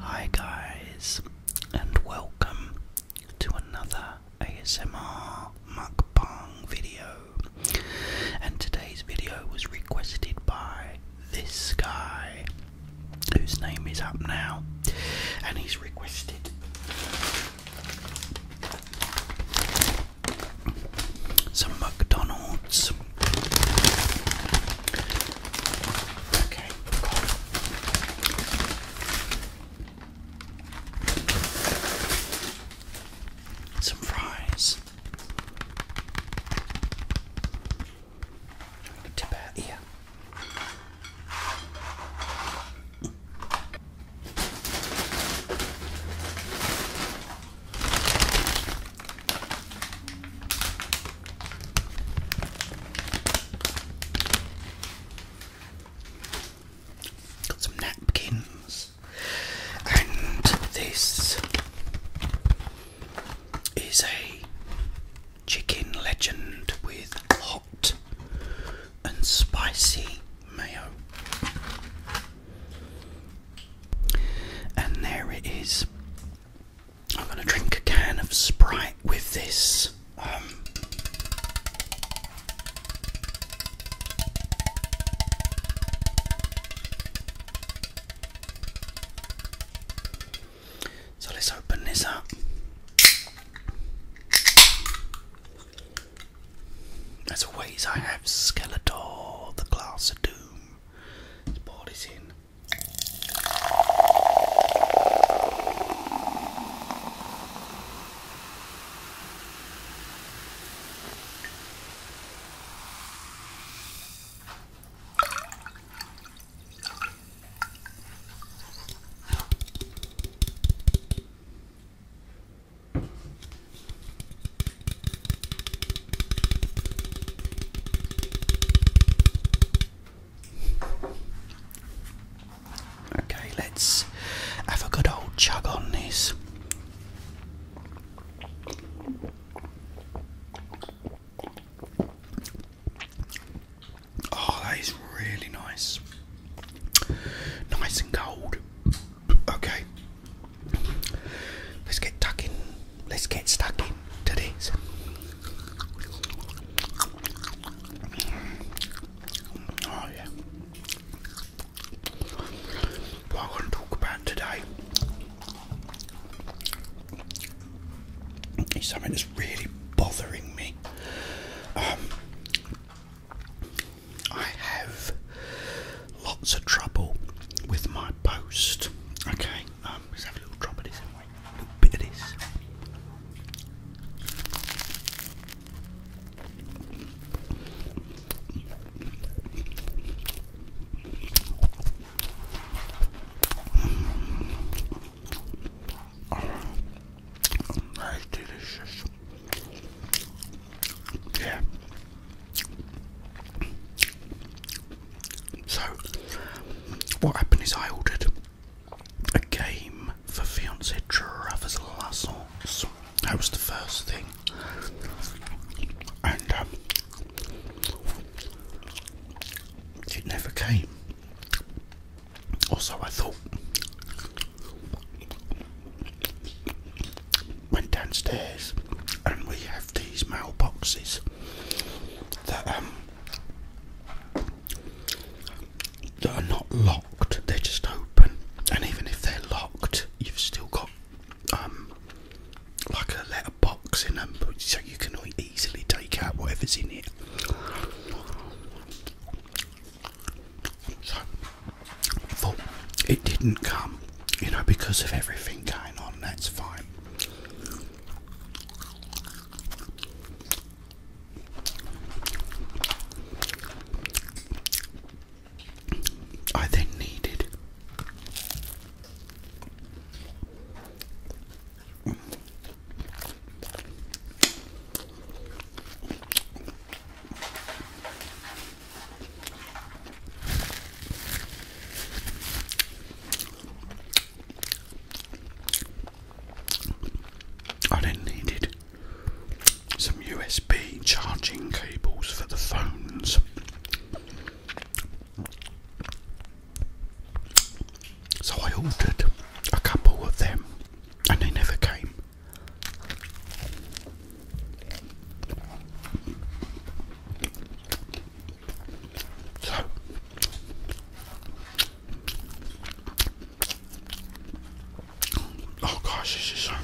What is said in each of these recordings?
Hi, guys, and welcome to another ASMR mukbang video. And today's video was requested by this guy, whose name is up now, and he's requested some McDonald's. Okay. Some fries. Tip out here. Got some napkins and this is a chicken legend with hot and spicy mayo. And there it is. I'm going to drink a can of Sprite with this. Um, so let's open this up. As always, I have Skeletor, the Glass of Doom. Let's in. Okay, let's have a good old chug on this. Oh, that is really nice. Nice and cold. Okay. Let's get stuck Let's get stuck in to Oh yeah. What i talk about today it's something that's really bothering me. Um, I have lots of trouble with my post. Okay, um, let's have a little bit of this. Oh, that is delicious. Yeah. So, what happened is I ordered a game for fiancé Travis Lassons. That was the first thing. And um, it never came. Also, I thought went downstairs and we have these mailboxes that um, that are not locked, they're just open. And even if they're locked, you've still got um, like a box in them, so you can easily take out whatever's in it. So, it didn't come, you know, because of everything going on. That's fine. I then needed I then needed some USB charging cables for the phones. So I ordered a couple of them and they never came. Oh gosh, this is so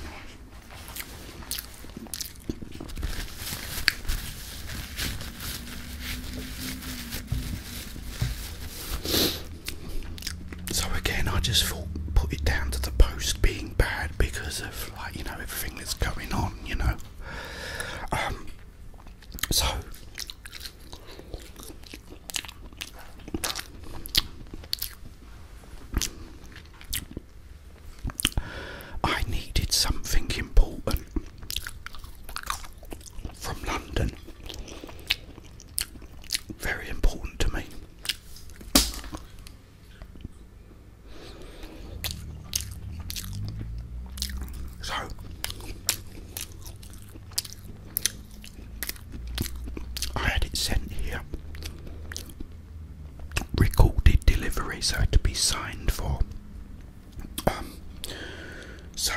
so again, I just thought put it down to the post being bad because of like you know everything that's going on, you know. Um, so I needed something important from London. Very important to me. So I had it sent here recorded delivery, so to be signed for. Um, so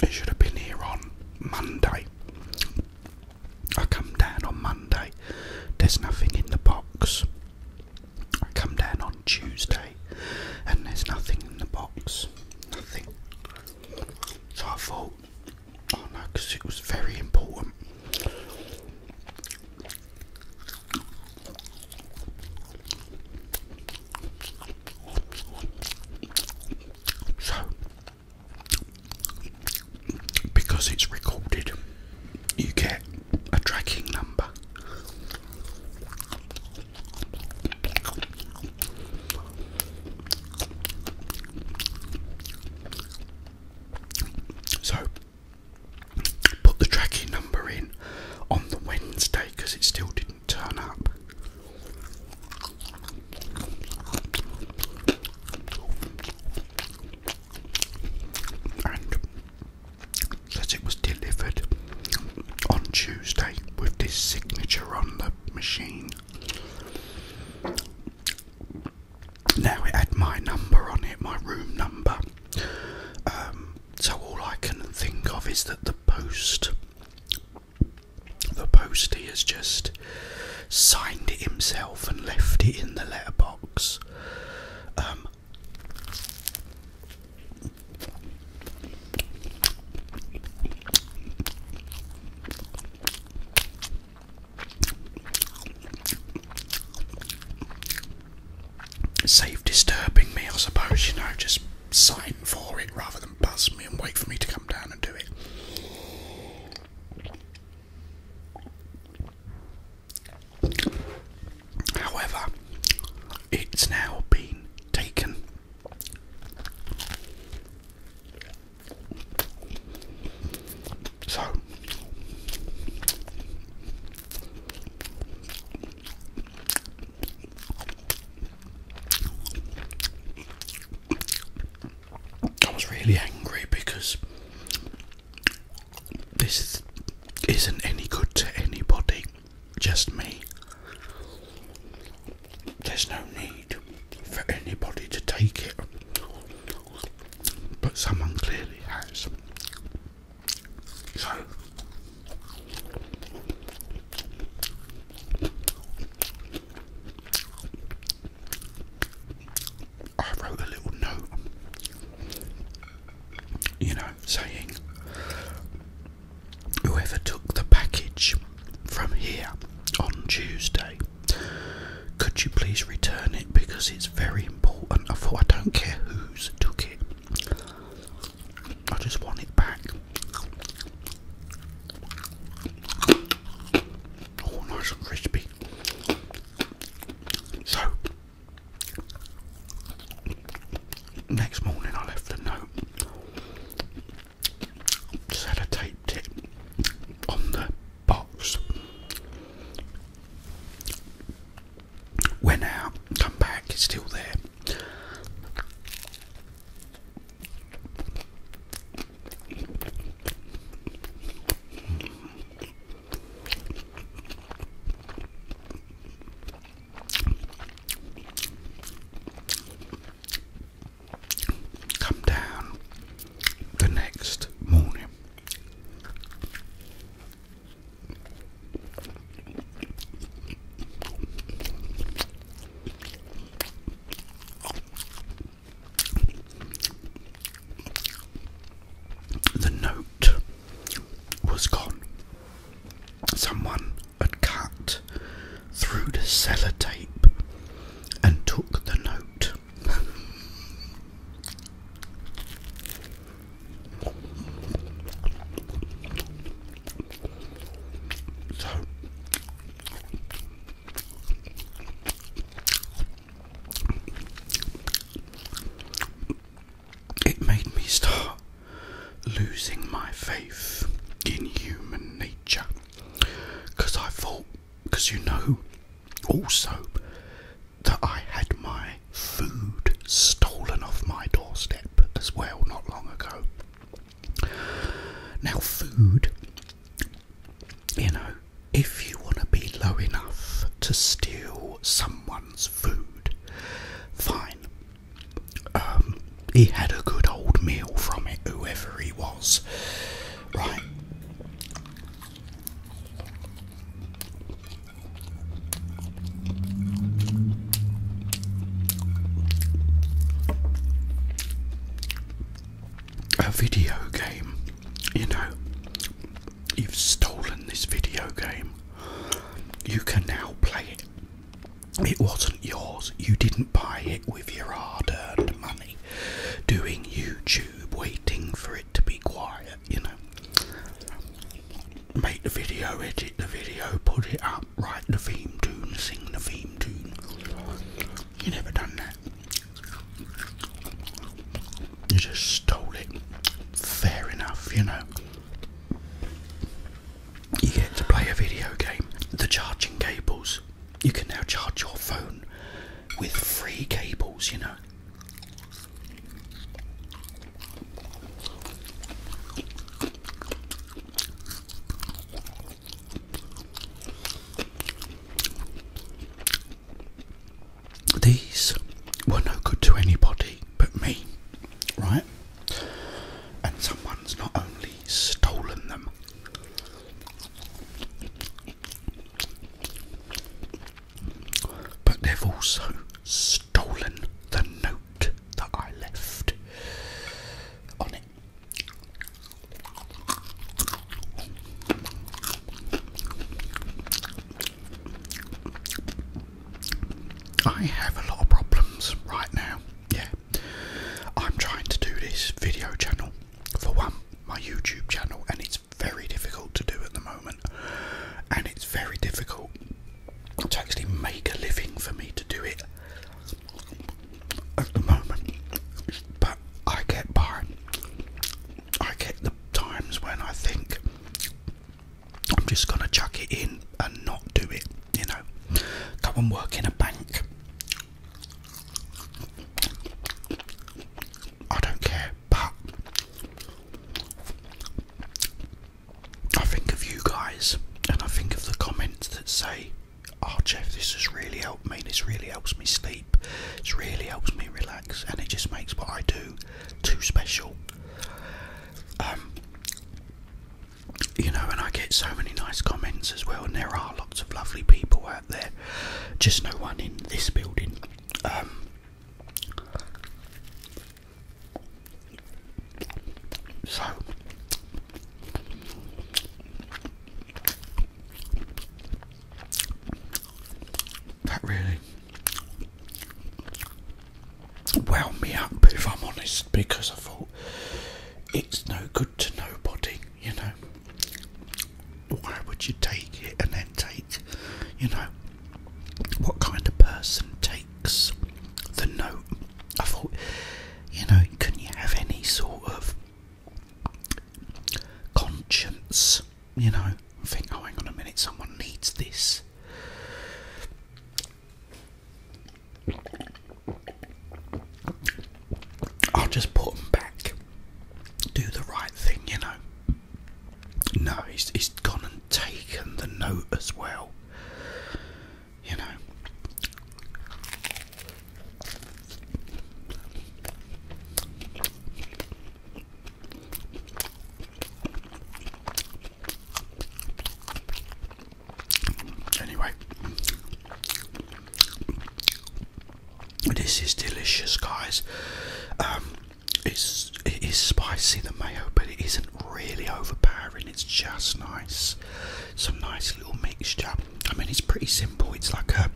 it should have been here on Monday. I come down on Monday, there's nothing in the box. I come down on Tuesday and there's nothing in the box. Nothing. So I thought because oh, it was very important. So, because it's recorded, you get a tracking number. So put the tracking number in on the Wednesday because it still didn't turn up. And says it was delivered on Tuesday with this signature on the machine. Now it had my number on it, my room number. Um, so all I can think of is that the post, the postie has just signed it himself and left it in the letterbox. Um, Safe, disturbing me, I suppose, you know, just sign for it rather than buzz me and wait for me to come down and do it. However, it's now been taken. So I was really angry because this isn't any good to anybody, just me. There's no need for anybody to take it but someone clearly has. So, I wrote a little note, you know, saying whoever took the package from here on Tuesday could you please return it because it's very important? I thought I don't care who's took it. I just want it back. Oh, nice and crispy. So, next morning I left a note. Just had a taped it on the box. Went out, come back, it's still there. Come down the next morning. The note was gone. Someone had cut through the sellotape and took the note it. made me start losing my faith in human nature because I thought because you know also that I had my food stolen off my doorstep as well not long ago. Now, food, you know, if you want to be low enough to steal someone's food, fine. Um, he had a good old meal from it, whoever he was, right? A video game, you know, you've stolen this video game. You can now play it. It wasn't yours, you didn't buy it with your hard earned money doing YouTube, waiting for it to be quiet, you know. Make the video, edit the video, put it up, write the theme tune, sing the theme tune. You never done that. You just stole it. Fair enough, you know. You get to play a video game. The charging cables. You can now charge your phone with free cables, you know. These were no good to anybody but me, right? And someone's not only stolen them, but they've also stolen the note that I left on it. I have a lot of problems right now. Yeah. I'm trying to do this video channel for one, my YouTube channel, and it's very difficult to do at the moment, and it's very difficult to actually make a living for me to do it at the moment. But I get by. I get the times when I think I'm just gonna chuck it in and not do it, you know. Go and work in a bank I don't care, but I think of you guys and I think of the comments that say, Oh, Jeff, this has really helped me, this really helps me sleep, It's really helps me relax, and it just makes what I do too special. Um, you know, and I get so many nice comments as well, and there are lots of lovely people out there. Just no one in this building. Um, so that really wound me up, if I'm honest, because I thought it's no good to nobody, you know. Why would you take it and then take, you know, what kind of person takes the note? I thought, you know, can you have any sort of conscience, you know? I Think, oh, hang on a minute, someone needs this. I'll just put them back do the right thing, you know. No, he's, he's gone and taken the note as well, you know. Anyway, this is delicious, guys. Um, it's spicy the mayo, but it isn't really overpowering. It's just nice. Some nice little mixture. I mean, it's pretty simple. It's like a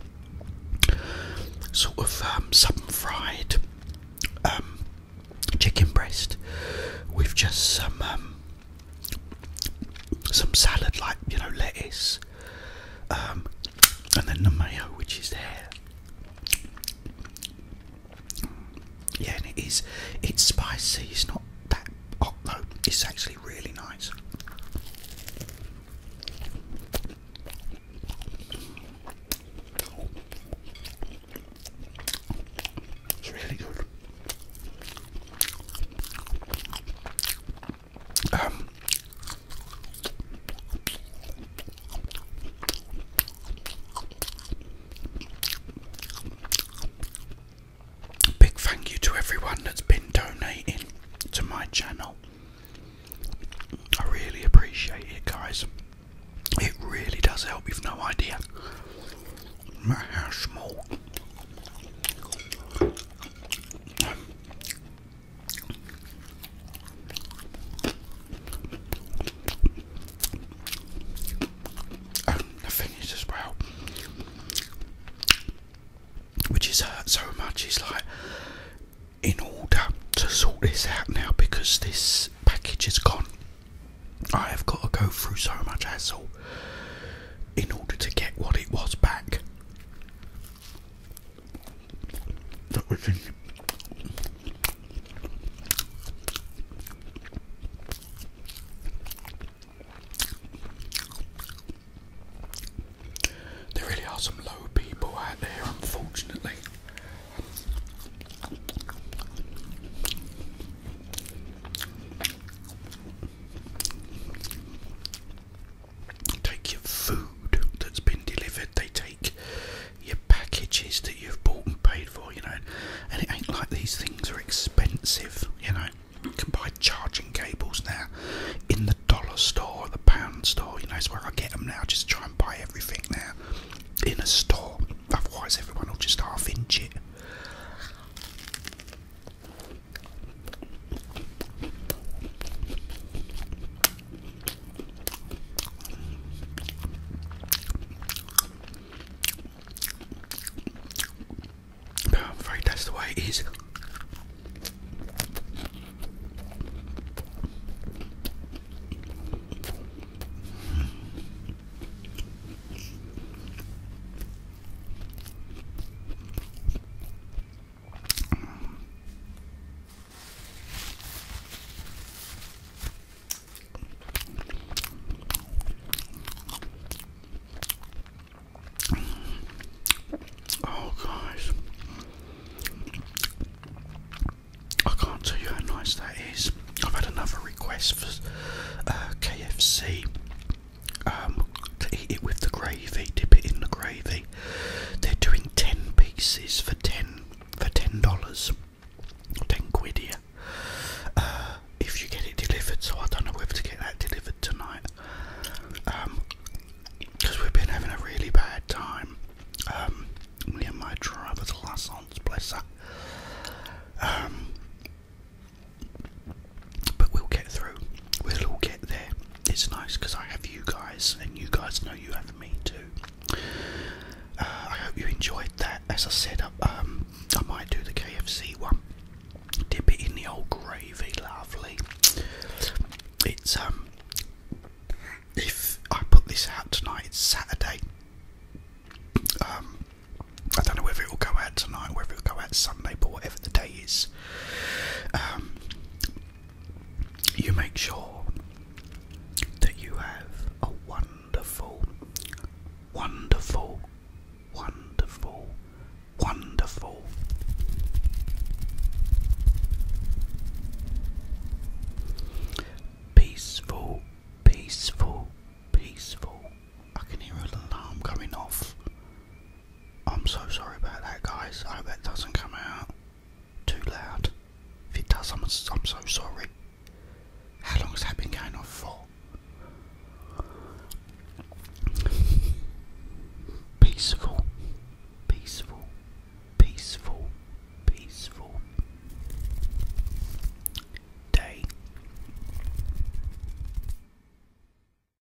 sort of um, fried um, chicken breast with just some um, some salad, like you know, lettuce um, and then the mayo, which is there. Yeah, and it is. It's spicy. It's not that hot though. It's actually really nice. It's really good. Um, big thank you to everyone that's been donating to my channel. I really appreciate it, guys. It really does help, you've no idea how Oh, the as well, which is hurt so much, It's like in order to sort this out now because this package is gone. I have got to go through so much hassle in order to get what it was back that we can there really are some low people out there, unfortunately take your food that's been delivered, they take your packages that you've bought and paid for, you know. And it ain't like these things are expensive, you know. You can buy charging cables now in the dollar store the pound store, you know, it's where I get them now. Just try and buy everything now in a store, otherwise, everyone will just half inch it. I'm afraid that's the way it is. Oh, guys, I can't tell you how nice that is. I've had another request for uh, KFC um, to eat it with the gravy, dip it in the gravy. They're doing ten pieces for ten for ten dollars, ten quid here. Uh, if you get it delivered, so I don't know whether to get that delivered tonight. because um, we've been having a really bad time. Um, me and my driver's license, bless her. But we'll get through. We'll all get there. It's nice because I have you guys, and you guys know you have me too. Uh, I hope you enjoyed that. As I said, I, uh, um, I might do the KFC one. Dip it in the old gravy, lovely. It's um, if I put this out tonight, it's Saturday. Um, I don't know whether it will go out tonight, whether it will go out Sunday, but whatever the day is, um, you make sure that you have a wonderful, wonderful, wonderful, wonderful. Peaceful, peaceful, peaceful. I can hear an alarm coming off. I'm so sorry about that, guys. I hope that doesn't come out too loud. If it does, I'm, I'm so sorry. How long has that been going on for? Peaceful, peaceful, peaceful, peaceful day.